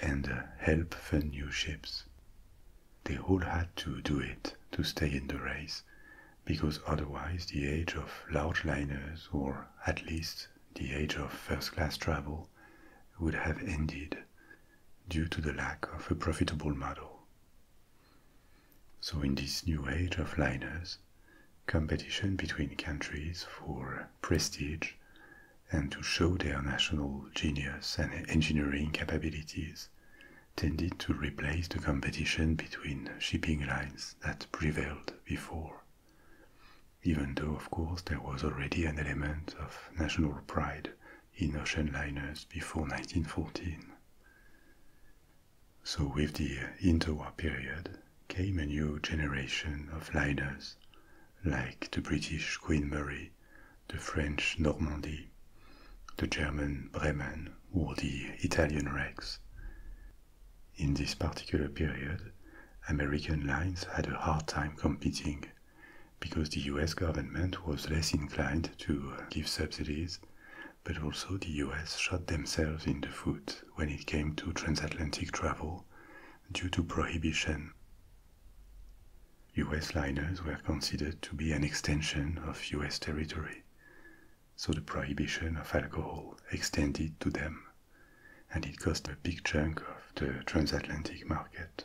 A: and uh, help fund new ships. They all had to do it to stay in the race, because otherwise the age of large liners, or at least the age of first class travel, would have ended due to the lack of a profitable model. So, in this new age of liners, competition between countries for prestige and to show their national genius and engineering capabilities tended to replace the competition between shipping lines that prevailed before. Even though, of course, there was already an element of national pride in ocean liners before 1914. So, with the interwar period came a new generation of liners, like the British Queen Mary, the French Normandy, the German Bremen, or the Italian Rex. In this particular period, American lines had a hard time competing because the US government was less inclined to give subsidies but also the US shot themselves in the foot when it came to transatlantic travel due to prohibition. US liners were considered to be an extension of US territory, so the prohibition of alcohol extended to them, and it cost a big chunk of the transatlantic market.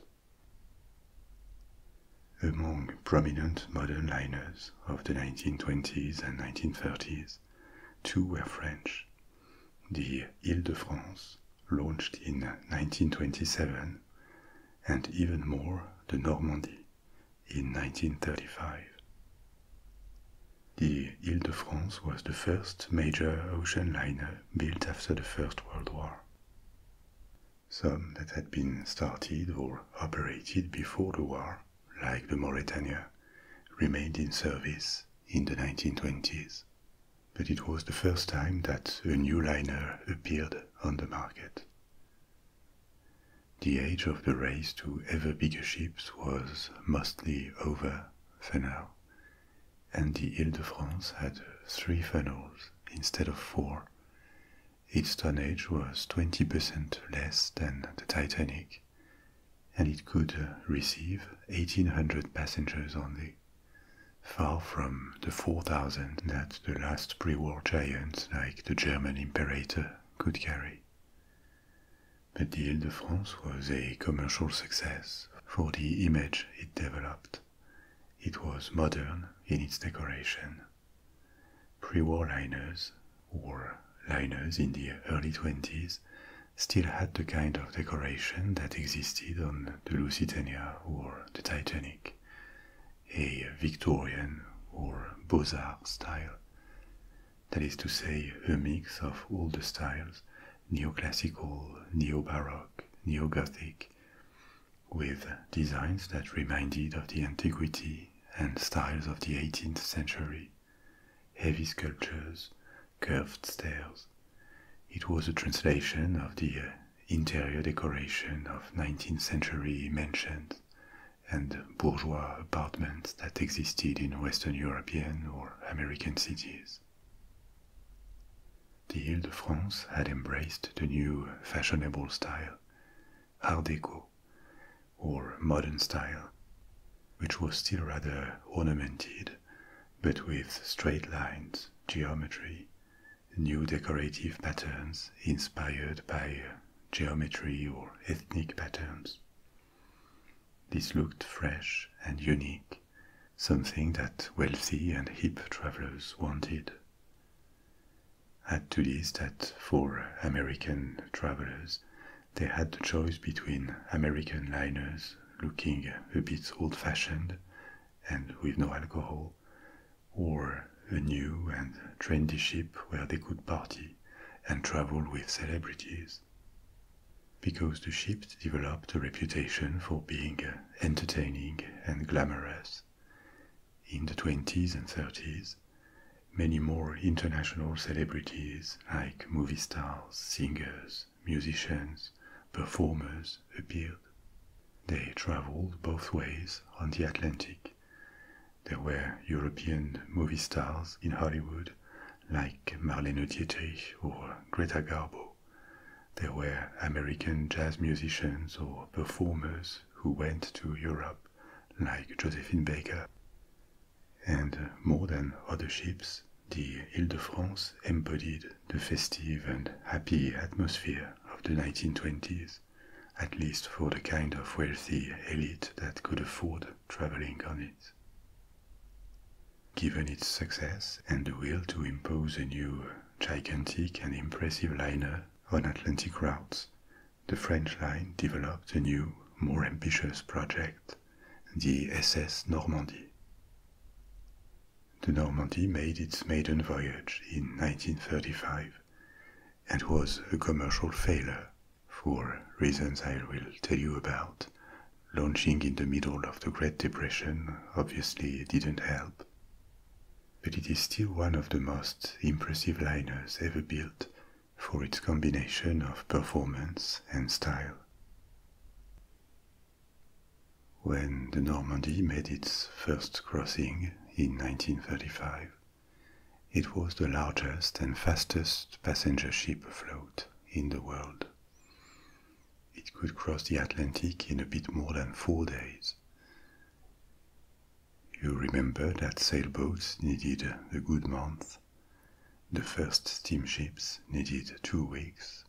A: Among prominent modern liners of the 1920s and 1930s, two were French. The Ile de France, launched in 1927, and even more the Normandie, in 1935. The Ile de France was the first major ocean liner built after the First World War some that had been started or operated before the war, like the Mauretania, remained in service in the 1920s. But it was the first time that a new liner appeared on the market. The age of the race to ever bigger ships was mostly over for now, and the Ile de France had three funnels instead of four, its tonnage was 20% less than the Titanic, and it could uh, receive 1,800 passengers only, far from the 4,000 that the last pre war giants like the German Imperator could carry. But the Ile de France was a commercial success for the image it developed. It was modern in its decoration Pre-war liners or liners in the early 20s still had the kind of decoration that existed on the Lusitania or the Titanic, a Victorian or Beaux-Arts style. That is to say, a mix of all the styles neoclassical, neo-baroque, neo-gothic, with designs that reminded of the antiquity and styles of the 18th century, heavy sculptures, curved stairs. It was a translation of the uh, interior decoration of 19th century mansions and bourgeois apartments that existed in Western European or American cities. The Ile de France had embraced the new fashionable style, Art Deco or modern style, which was still rather ornamented, but with straight lines, geometry, new decorative patterns inspired by geometry or ethnic patterns. This looked fresh and unique, something that wealthy and hip travelers wanted Add to this that for American travelers, they had the choice between American liners looking a bit old fashioned and with no alcohol, or a new and trendy ship where they could party and travel with celebrities. Because the ships developed a reputation for being entertaining and glamorous, in the 20s and 30s, many more international celebrities like movie stars, singers, musicians, performers appeared. They traveled both ways on the Atlantic. There were European movie stars in Hollywood like Marlene Dietrich or Greta Garbo. There were American jazz musicians or performers who went to Europe, like Josephine Baker. And uh, more than other ships, the Ile de France embodied the festive and happy atmosphere of the 1920s, at least for the kind of wealthy elite that could afford traveling on it. Given its success and the will to impose a new, gigantic, and impressive liner on Atlantic routes, the French line developed a new, more ambitious project, the SS Normandy. The Normandy made its maiden voyage in 1935 and was a commercial failure for reasons I will tell you about. Launching in the middle of the Great Depression obviously didn't help. But it is still one of the most impressive liners ever built for its combination of performance and style. When the Normandy made its first crossing in 1935, it was the largest and fastest passenger ship afloat in the world. It could cross the Atlantic in a bit more than four days. You remember that sailboats needed a good month. The first steamships needed two weeks.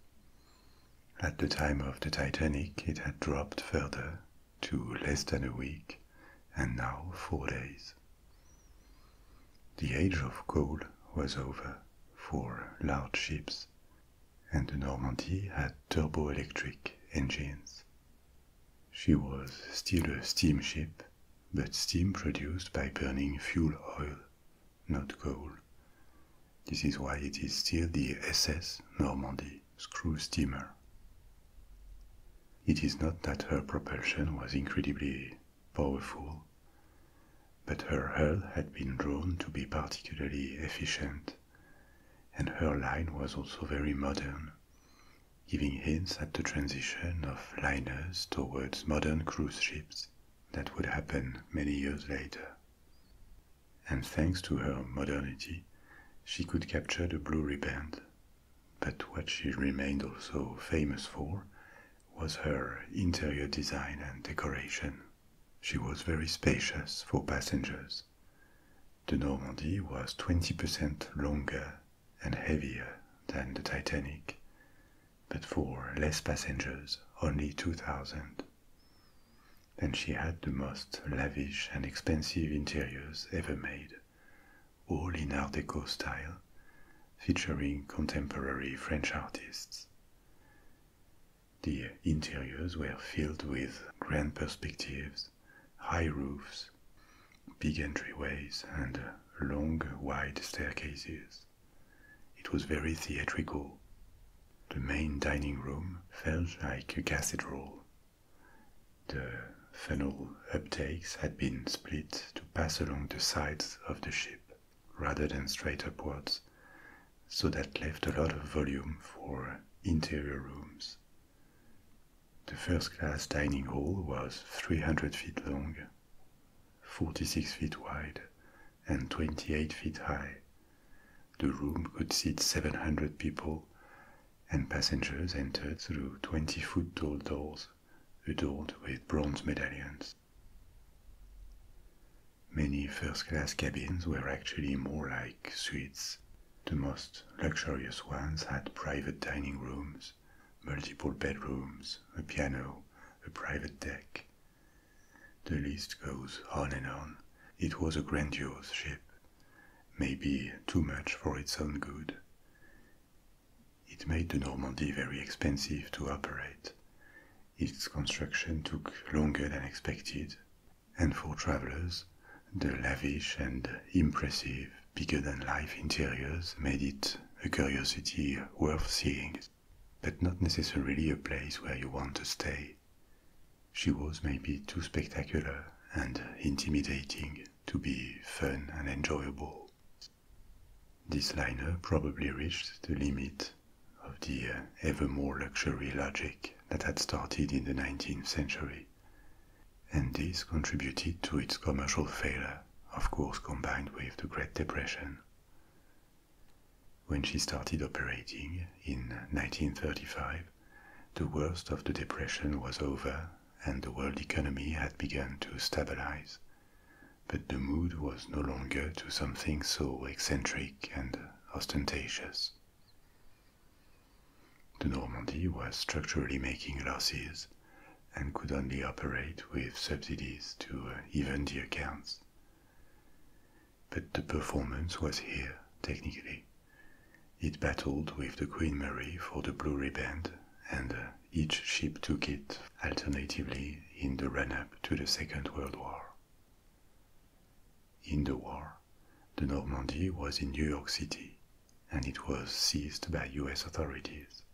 A: At the time of the Titanic, it had dropped further to less than a week and now four days. The age of coal was over for large ships, and the Normandie had turboelectric engines. She was still a steamship, but steam produced by burning fuel oil, not coal. This is why it is still the SS Normandy screw steamer. It is not that her propulsion was incredibly powerful, but her hull had been drawn to be particularly efficient, and her line was also very modern, giving hints at the transition of liners towards modern cruise ships that would happen many years later. And thanks to her modernity, she could capture the blue ribbon. But what she remained also famous for was her interior design and decoration. She was very spacious for passengers. The Normandy was 20% longer and heavier than the Titanic, but for less passengers, only 2,000. And she had the most lavish and expensive interiors ever made, all in Art Deco style, featuring contemporary French artists. The interiors were filled with grand perspectives high roofs, big entryways, and long, wide staircases. It was very theatrical. The main dining room felt like a cathedral. The funnel uptakes had been split to pass along the sides of the ship rather than straight upwards, so that left a lot of volume for interior rooms the first class dining hall was 300 feet long, 46 feet wide, and 28 feet high. The room could seat 700 people, and passengers entered through 20 foot tall doors adorned with bronze medallions. Many first class cabins were actually more like suites. The most luxurious ones had private dining rooms multiple bedrooms, a piano, a private deck. The list goes on and on. It was a grandiose ship, maybe too much for its own good. It made the Normandy very expensive to operate. Its construction took longer than expected, and for travelers, the lavish and impressive bigger than life interiors made it a curiosity worth seeing, but not necessarily a place where you want to stay. She was maybe too spectacular and intimidating to be fun and enjoyable. This liner probably reached the limit of the uh, ever more luxury logic that had started in the 19th century and this contributed to its commercial failure, of course, combined with the Great Depression. When she started operating in 1935, the worst of the Depression was over and the world economy had begun to stabilize. But the mood was no longer to something so eccentric and ostentatious. The Normandy was structurally making losses, and could only operate with subsidies to uh, even the accounts. But the performance was here, technically. It battled with the Queen Mary for the blue riband, and uh, each ship took it alternatively in the run up to the Second World War. In the war, the Normandy was in New York City and it was seized by US authorities.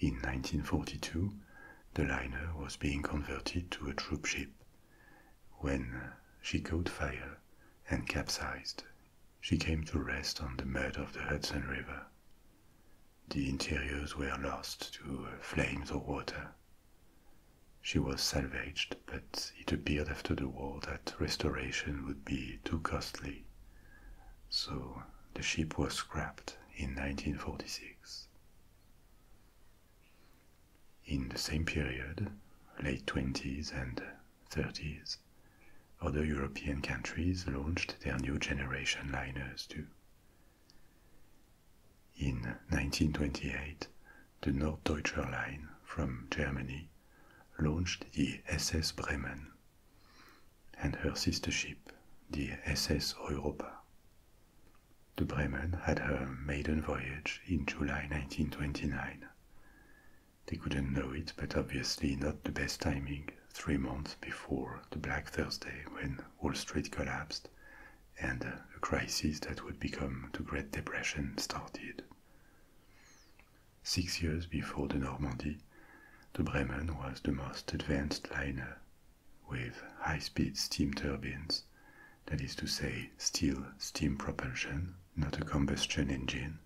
A: In 1942, the liner was being converted to a troopship when she caught fire and capsized. She came to rest on the mud of the Hudson River. The interiors were lost to flames or water. She was salvaged, but it appeared after the war that restoration would be too costly so the ship was scrapped in 1946. In the same period, late 20s and 30s, other European countries launched their new generation liners too. In 1928, the Norddeutscher Line from Germany launched the SS Bremen and her sister ship, the SS Europa. The Bremen had her maiden voyage in July 1929. They couldn't know it, but obviously not the best timing, three months before the Black Thursday when Wall Street collapsed and a crisis that would become the Great Depression started. Six years before the Normandy, the Bremen was the most advanced liner, with high-speed steam turbines, that is to say, steel steam propulsion, not a combustion engine,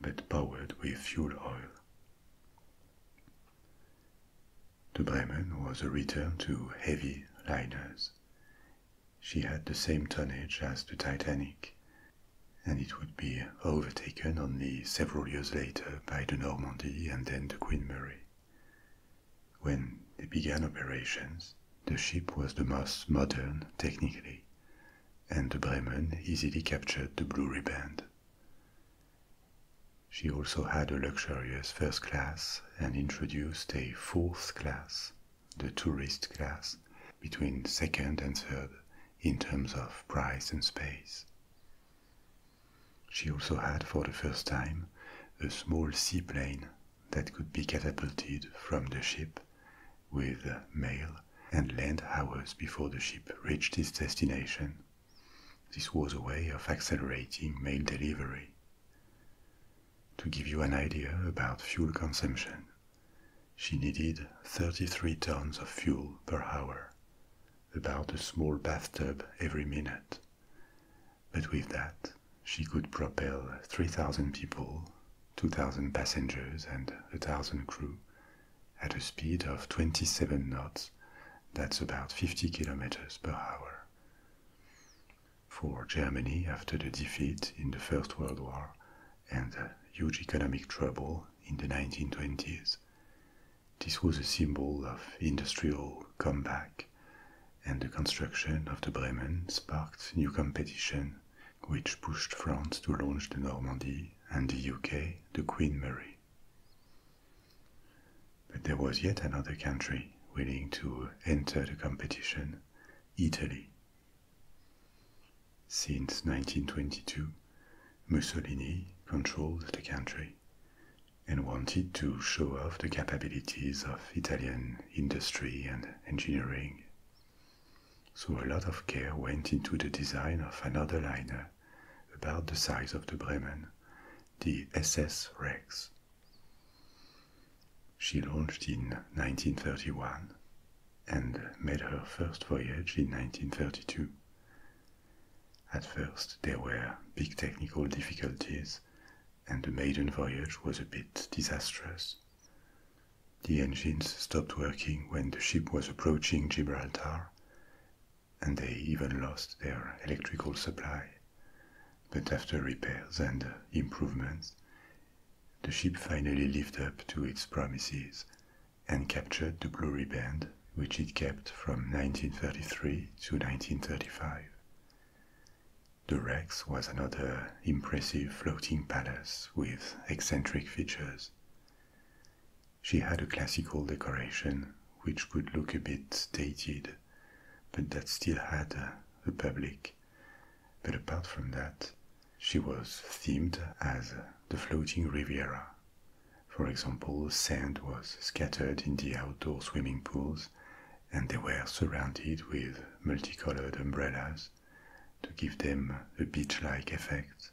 A: but powered with fuel oil. The Bremen was a return to heavy liners. She had the same tonnage as the Titanic and it would be overtaken only several years later by the Normandy and then the Queen Mary. When they began operations, the ship was the most modern technically, and the Bremen easily captured the Blue Riband. She also had a luxurious first class and introduced a fourth class, the tourist class, between second and third in terms of price and space. She also had for the first time a small seaplane that could be catapulted from the ship with mail and land hours before the ship reached its destination. This was a way of accelerating mail delivery. To give you an idea about fuel consumption, she needed 33 tons of fuel per hour, about a small bathtub every minute. But with that, she could propel 3,000 people, 2,000 passengers, and 1,000 crew at a speed of 27 knots, that's about 50 kilometers per hour. For Germany, after the defeat in the First World War and huge economic trouble in the 1920s, this was a symbol of industrial comeback, and the construction of the Bremen sparked new competition, which pushed France to launch the Normandy and the UK the Queen Mary. But there was yet another country willing to enter the competition Italy. Since 1922, Mussolini controlled the country and wanted to show off the capabilities of Italian industry and engineering. So a lot of care went into the design of another liner about the size of the Bremen, the SS Rex. She launched in 1931 and made her first voyage in 1932 at first, there were big technical difficulties, and the maiden voyage was a bit disastrous. The engines stopped working when the ship was approaching Gibraltar, and they even lost their electrical supply. But after repairs and improvements, the ship finally lived up to its promises and captured the Blue Riband, which it kept from 1933 to 1935. The Rex was another impressive floating palace with eccentric features. She had a classical decoration which could look a bit dated, but that still had a republic. But apart from that, she was themed as the floating Riviera, for example, sand was scattered in the outdoor swimming pools, and they were surrounded with multicolored umbrellas to give them a beach like effect.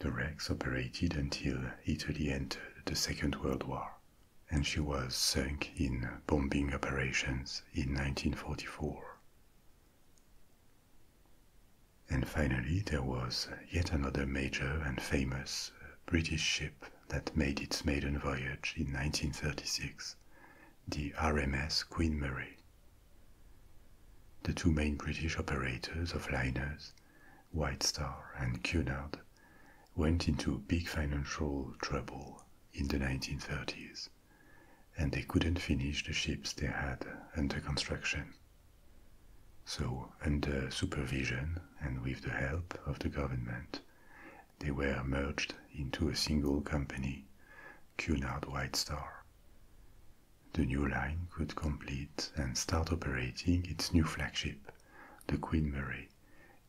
A: The Rex operated until Italy entered the Second World War, and she was sunk in bombing operations in 1944. And finally, there was yet another major and famous uh, British ship that made its maiden voyage in 1936, the RMS Queen Mary. The two main British operators of liners, White Star and Cunard, went into big financial trouble in the 1930s, and they couldn't finish the ships they had under construction. So, under supervision and with the help of the government, they were merged into a single company, Cunard White Star. The new line could complete and start operating its new flagship, the Queen Mary,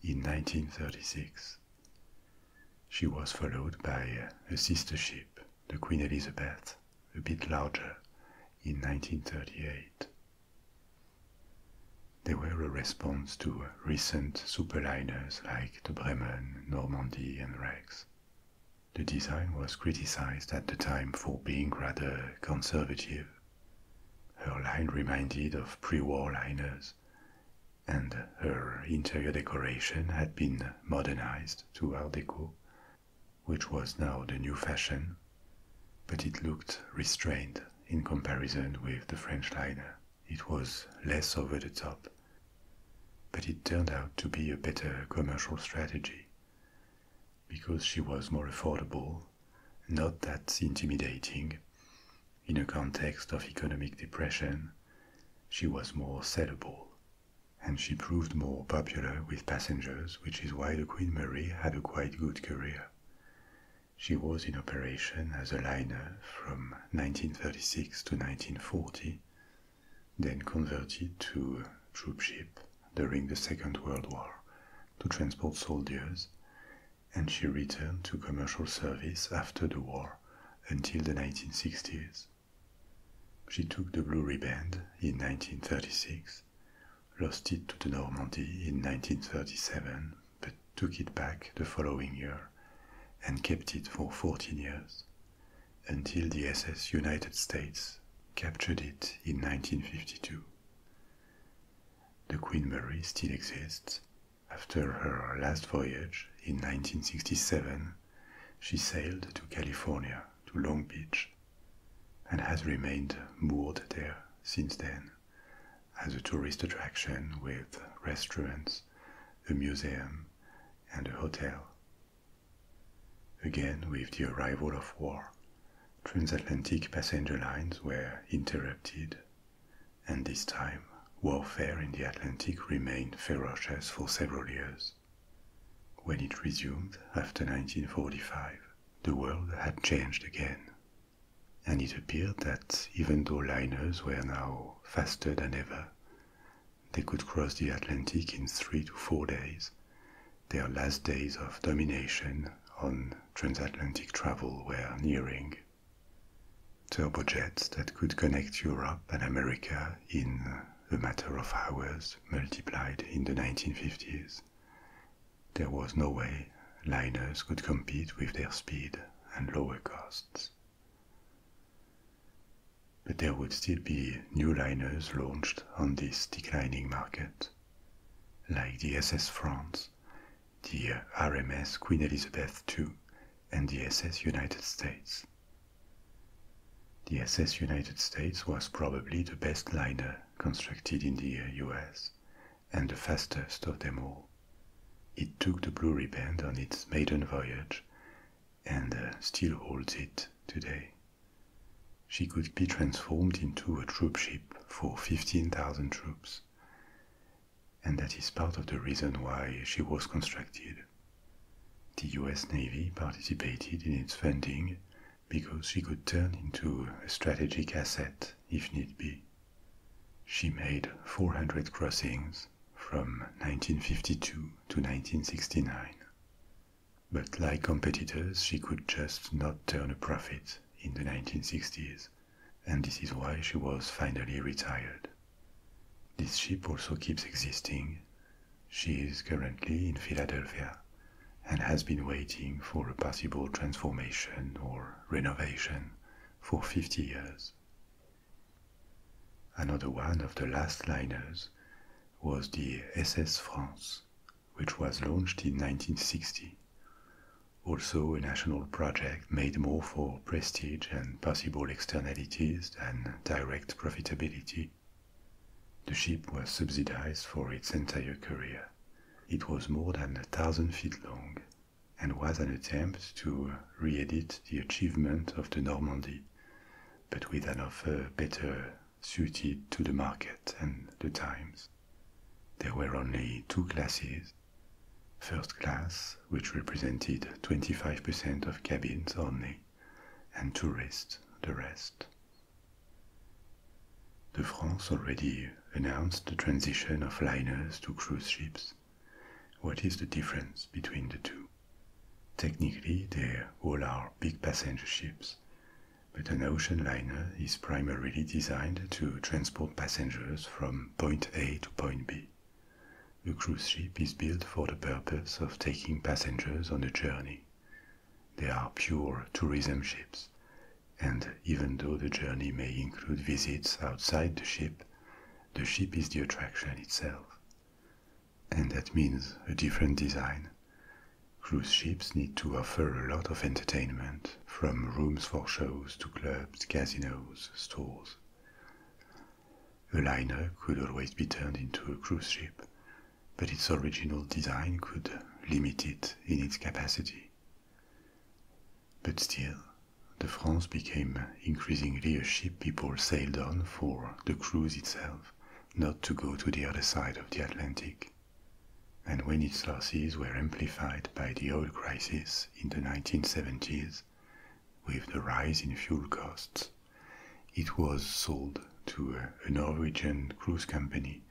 A: in 1936. She was followed by a sister ship, the Queen Elizabeth, a bit larger, in 1938. They were a response to recent superliners like the Bremen, Normandy, and Rex. The design was criticized at the time for being rather conservative. Her line reminded of pre war liners, and her interior decoration had been modernized to Art Deco which was now the new fashion, but it looked restrained in comparison with the French liner. It was less over the top, but it turned out to be a better commercial strategy because she was more affordable, not that intimidating. In a context of economic depression, she was more sellable and she proved more popular with passengers, which is why the Queen Mary had a quite good career. She was in operation as a liner from 1936 to 1940, then converted to troopship during the Second World War to transport soldiers, and she returned to commercial service after the war until the 1960s. She took the Blue Riband in 1936 lost it to the Normandy in 1937, but took it back the following year and kept it for 14 years until the SS United States captured it in 1952. The Queen Mary still exists. After her last voyage in 1967, she sailed to California, to Long Beach, and has remained moored there since then as a tourist attraction with restaurants, a museum, and a hotel. Again, with the arrival of war, transatlantic passenger lines were interrupted, and this time warfare in the Atlantic remained ferocious for several years. When it resumed after 1945, the world had changed again, and it appeared that even though liners were now faster than ever, they could cross the Atlantic in three to four days. Their last days of domination on transatlantic travel were nearing. Turbojets that could connect Europe and America in a matter of hours multiplied in the 1950s. There was no way liners could compete with their speed and lower costs. But there would still be new liners launched on this declining market, like the SS France, the RMS Queen Elizabeth II, and the SS United States. The SS United States was probably the best liner constructed in the US uh, and the fastest of them all. It took the blue ribbon on its maiden voyage and uh, still holds it today. She could be transformed into a troop ship for 15,000 troops, and that is part of the reason why she was constructed. The US Navy participated in its funding because she could turn into a strategic asset if need be. She made 400 crossings from 1952 to 1969. But like competitors, she could just not turn a profit in the 1960s, and this is why she was finally retired. This ship also keeps existing she is currently in Philadelphia and has been waiting for a possible transformation or renovation for 50 years. Another one of the last liners was the SS France, which was launched in 1960, also a national project made more for prestige and possible externalities than direct profitability the ship was subsidized for its entire career. It was more than a thousand feet long and was an attempt to re-edit the achievement of the Normandy, but with an offer better suited to the market and the times. There were only two classes. First class, which represented 25% of cabins only, and tourists, the rest. The France already announced the transition of liners to cruise ships. What is the difference between the two? Technically, they all are big passenger ships, but an ocean liner is primarily designed to transport passengers from point A to point B. A cruise ship is built for the purpose of taking passengers on a journey. They are pure tourism ships, and even though the journey may include visits outside the ship, the ship is the attraction itself. And that means a different design. Cruise ships need to offer a lot of entertainment, from rooms for shows to clubs, casinos, stores. A liner could always be turned into a cruise ship, but its original design could limit it in its capacity. But still, the France became increasingly a ship people sailed on for the cruise itself, not to go to the other side of the Atlantic. And when its losses were amplified by the oil crisis in the 1970s, with the rise in fuel costs, it was sold to a Norwegian cruise company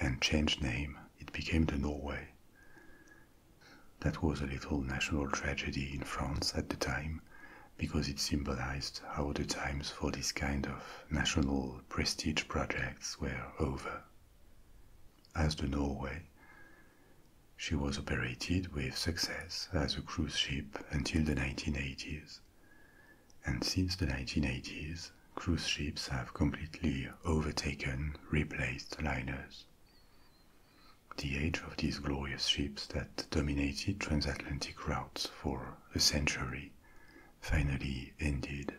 A: and changed name. It became the Norway. That was a little national tragedy in France at the time because it symbolized how the times for this kind of national prestige projects were over. As the Norway, she was operated with success as a cruise ship until the 1980s, and since the 1980s, cruise ships have completely overtaken, replaced liners. The age of these glorious ships that dominated transatlantic routes for a century finally ended.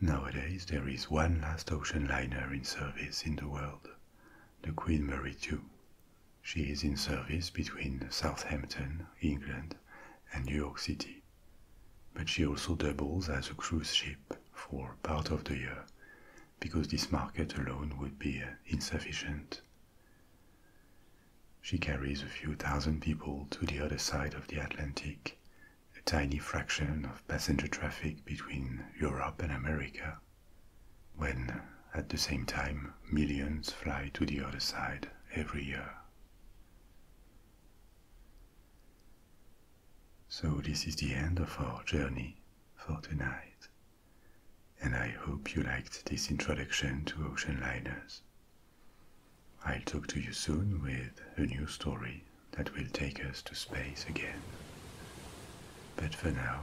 A: Nowadays, there is one last ocean liner in service in the world, the Queen Mary Two. She is in service between Southampton, England, and New York City but she also doubles as a cruise ship for part of the year because this market alone would be uh, insufficient. She carries a few thousand people to the other side of the Atlantic, a tiny fraction of passenger traffic between Europe and America, when at the same time millions fly to the other side every year. So, this is the end of our journey for tonight, and I hope you liked this introduction to ocean liners. I'll talk to you soon with a new story that will take us to space again. But for now,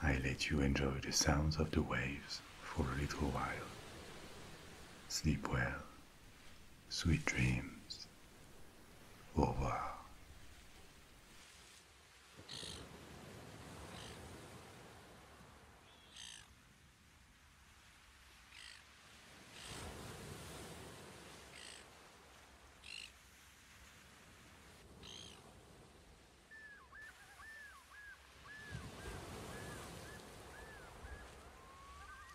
A: I let you enjoy the sounds of the waves for a little while. Sleep well sweet dreams. Au revoir.